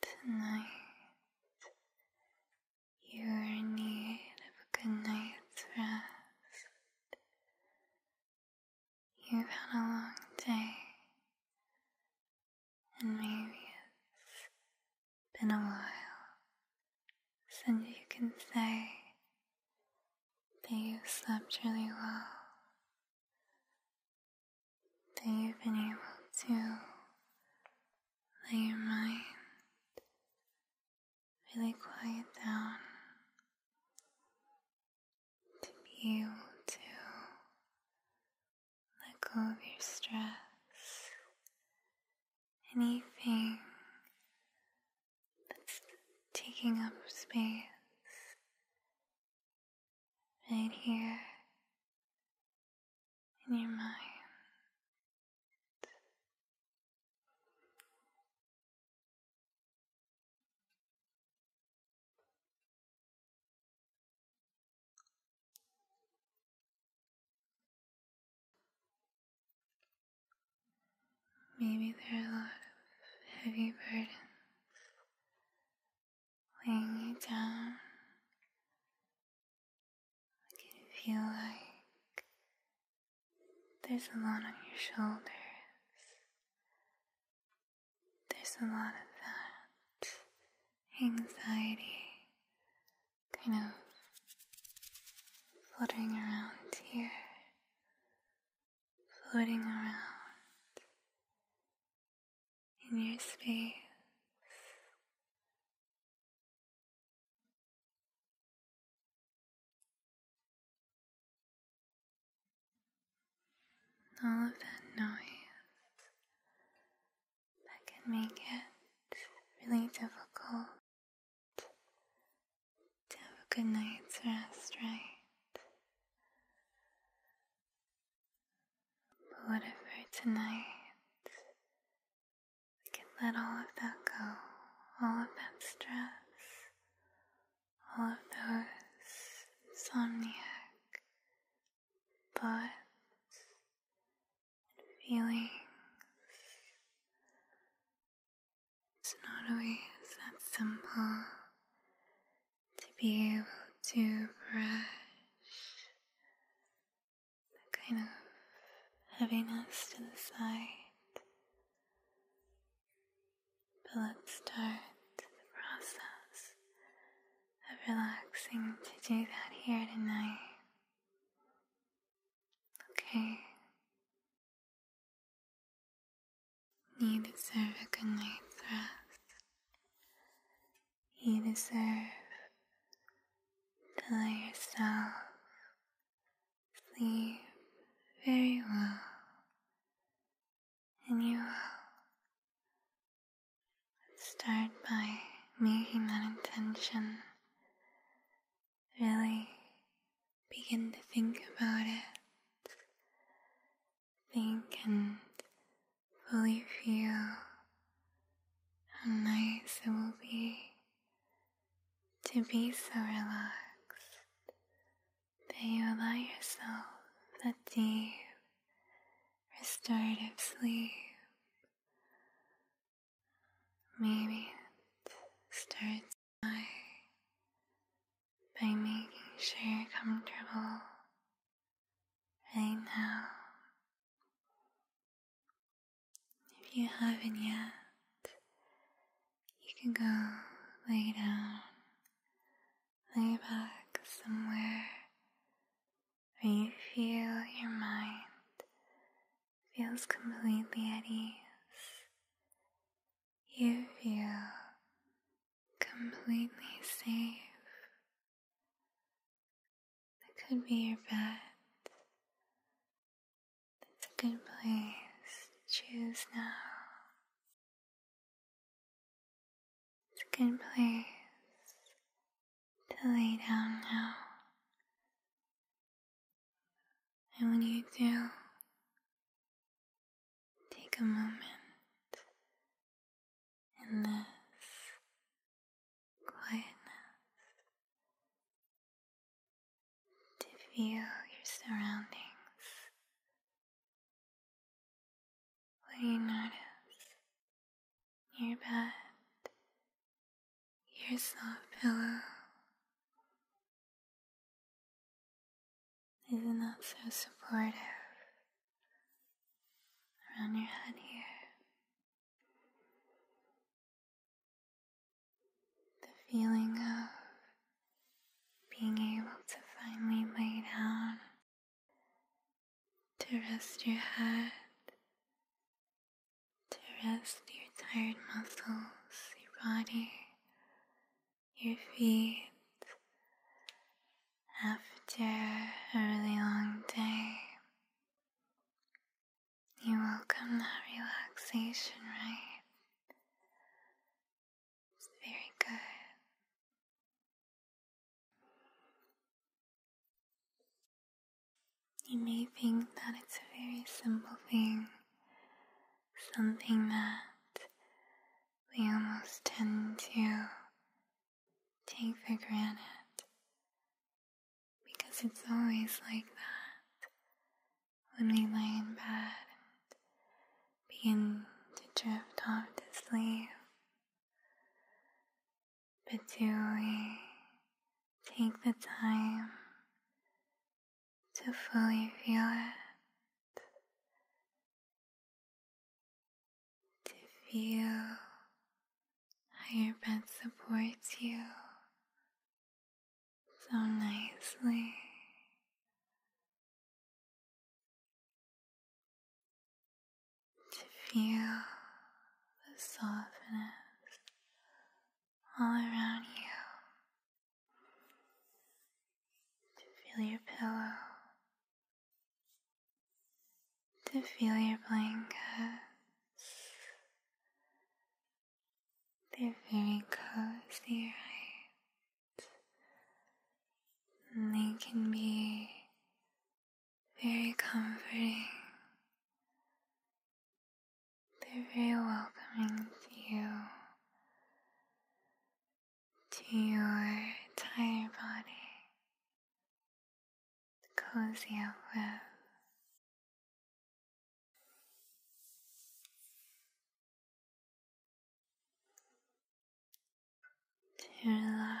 Tonight, you are in need of a good night's rest. You've had a long day, and maybe it's been a while since you can say that you slept really well that you've been able to let your mind really quiet down to be able to let go of your stress, anything that's taking up space right here in your mind. Maybe there are a lot of heavy burdens Laying you down. I can feel like there's a lot on your shoulders. There's a lot of that anxiety kind of fluttering around here floating around in your space. All of that noise that can make it really difficult to have a good night's rest, right? But whatever tonight we can let all of that go, all of that stress, all of those insomniac thoughts and feelings it's not always that simple to be able to brush that kind of heaviness to the side. But let's start the process of relaxing to do that here tonight. Okay, you deserve a good night's rest. You deserve to let yourself sleep very well. And you will. start by making that intention Really begin to think about it. Think and fully feel how nice it will be to be so relaxed that you allow yourself that deep, restorative sleep. Maybe it starts by making sure you're comfortable right now. If you haven't yet, you can go lay down, lay back somewhere where you feel your mind feels completely at ease you feel completely safe. That could be your bed. That's a good place choose now. It's a good place to lay down now. I want you to take a moment in this quietness to feel your surroundings. What you notice? Your bed, your soft pillow is not so supportive around your head here. The feeling of being able to finally lay down to rest your head to rest your tired muscles, your body, your feet after a really long day. You welcome that relaxation, right? It's very good. You may think that it's a very simple thing, something that we almost tend to take for granted because it's always like that when we lie in bed and begin to drift off to sleep. But do we take the time to fully feel it, to feel how your bed supports you so nicely. To feel the softness all around you, to feel your pillow, to feel your blankets. They're very cozy, right? And they can be very comforting they're very welcoming to you, to your entire body, cozy up with. To relax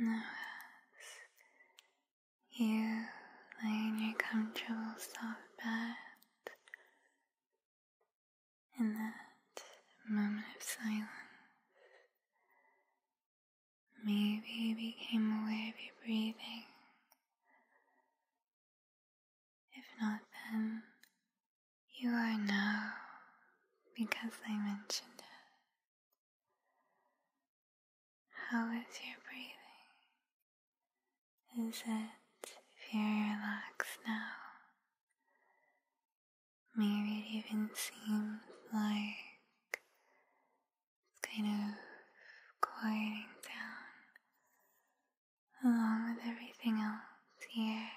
Now as you lay in your comfortable soft bed in that moment of silence, Maybe you became aware of your breathing. If not, then you are now because I mentioned it. How is your breathing? Is it very relaxed now? Maybe it even seems like it's kind of quieting down along with everything else here.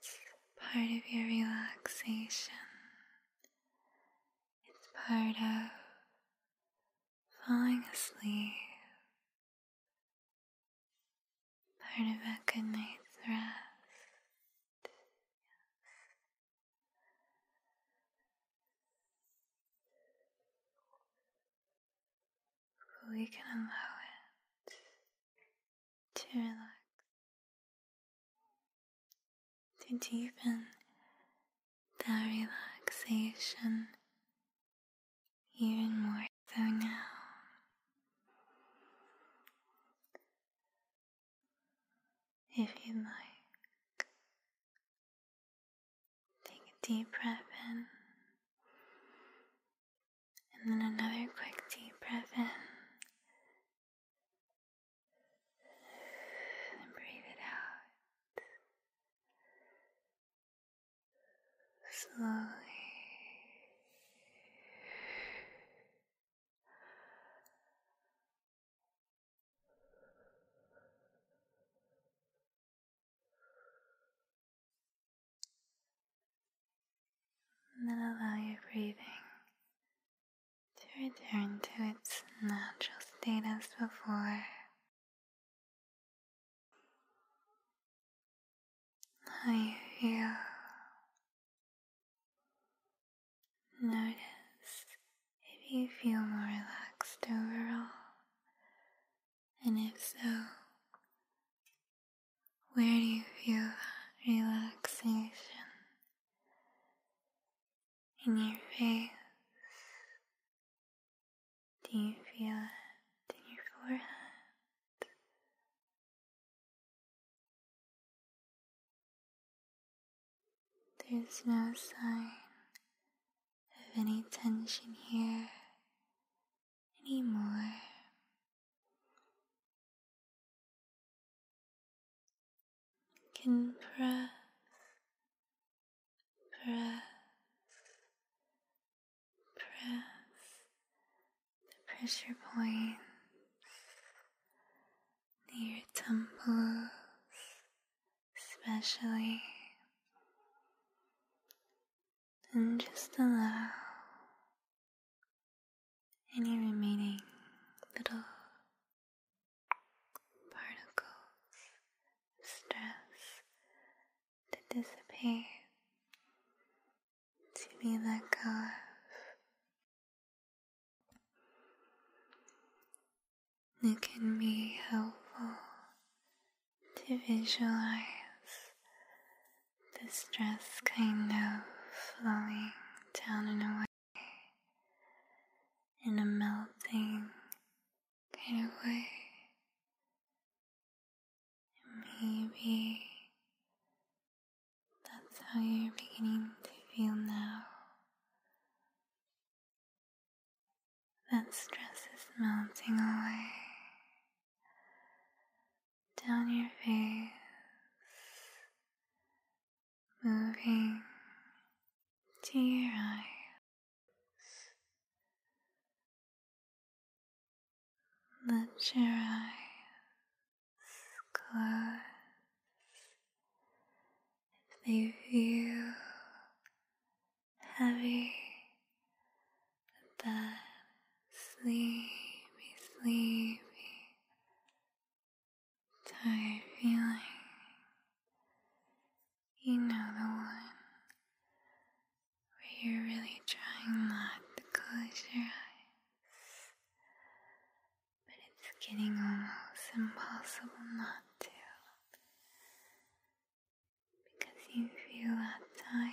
It's part of your relaxation. It's part of falling asleep Part of a good night's rest. we can allow it to relax, to deepen that relaxation even more so now. If you like, take a deep breath in, and then another quick deep breath in. And breathe it out slowly then allow your breathing to return to its natural state before are you here? notice if you feel more relaxed overall, and if so, where do you feel relaxation in your face? Do you feel it in your forehead? There's no sign of any tension here anymore. Can press press, press the pressure points near your temples, especially, and just allow any remaining little particles stress to disappear, to be let go It can be helpful to visualize the stress kind of flowing down and away in a melting kind of way. Maybe that's how you're beginning to feel now. That stress is melting away down your face, moving to your eyes. Let your eyes close if they feel heavy. Let that sleepy, sleepy, tired feeling you know the one where you're really trying not to close your eyes, but it's getting almost impossible not to because you feel tired.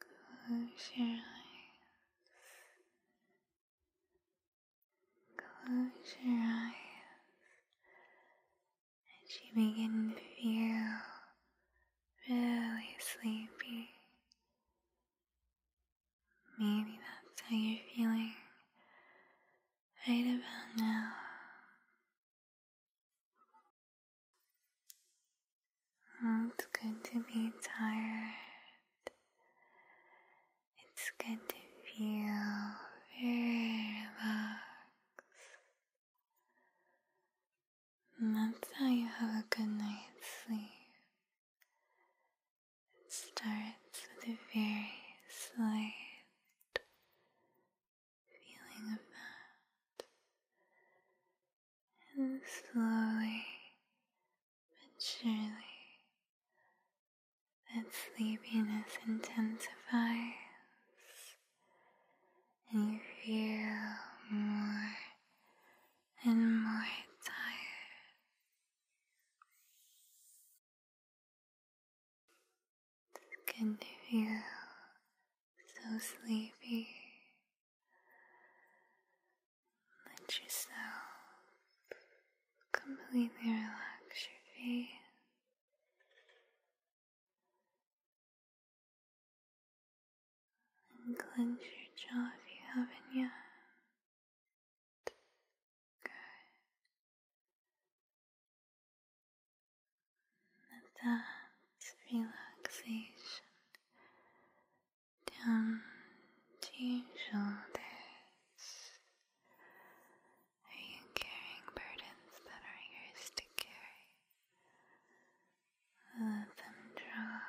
Close your eyes. Close your eyes as you begin to feel really sleepy. Maybe that's how you're feeling right about now. Oh, it's good to be tired. It's good to feel very relaxed. And that's how you have a good night's sleep. It starts with a very slight feeling of that and slowly but surely that sleepiness intensifies and you feel more and more tired. It's good to feel so sleepy let yourself completely relax your face. And clench your jaw if you haven't yet. Good that relaxation down to your shoulders. Are you carrying burdens that are yours to carry? Let them drop.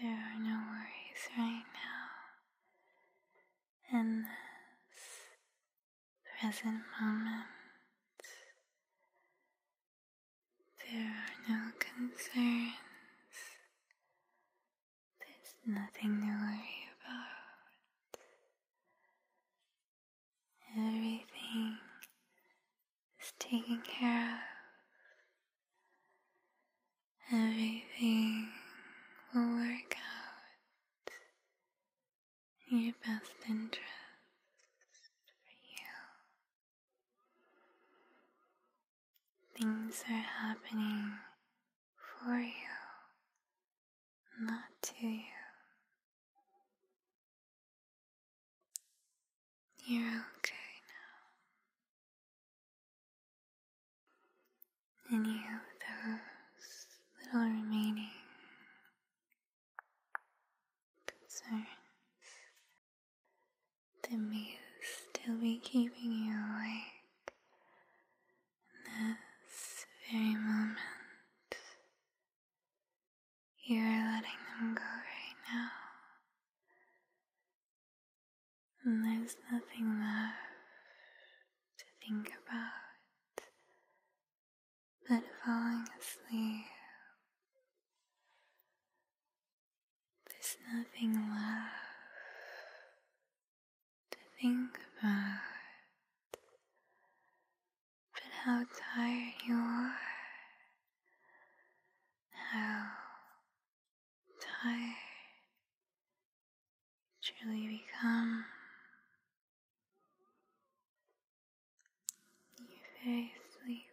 There are no worries right now in this present moment. There are no concerns. There's nothing to worry about. Everything is taken care of. Everything will work out in your best interest for you. Things are happening for you, not to you. You're okay now any of those little remaining concerns that may still be keeping you awake this very moment. You are letting them go right now. And there's nothing left to think about but falling asleep. There's nothing left to think about but how tired you are, how tired, truly become very sleepy.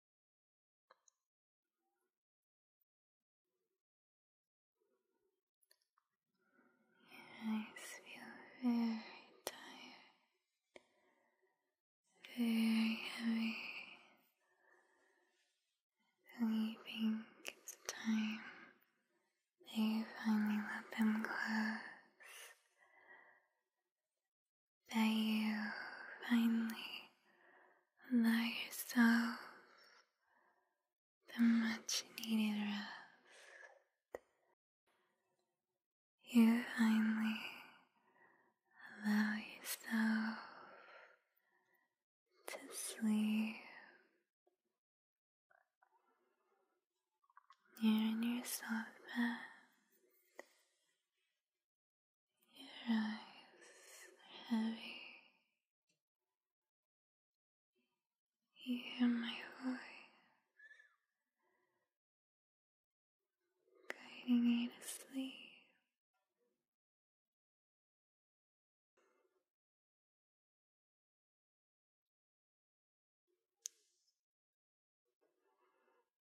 I feel very tired, very heavy. Believing it's time they finally let them go? that you finally allow yourself the much needed rest. You finally allow yourself to sleep. You're in your soft bed. Your eyes are heavy. hear my voice guiding you to sleep.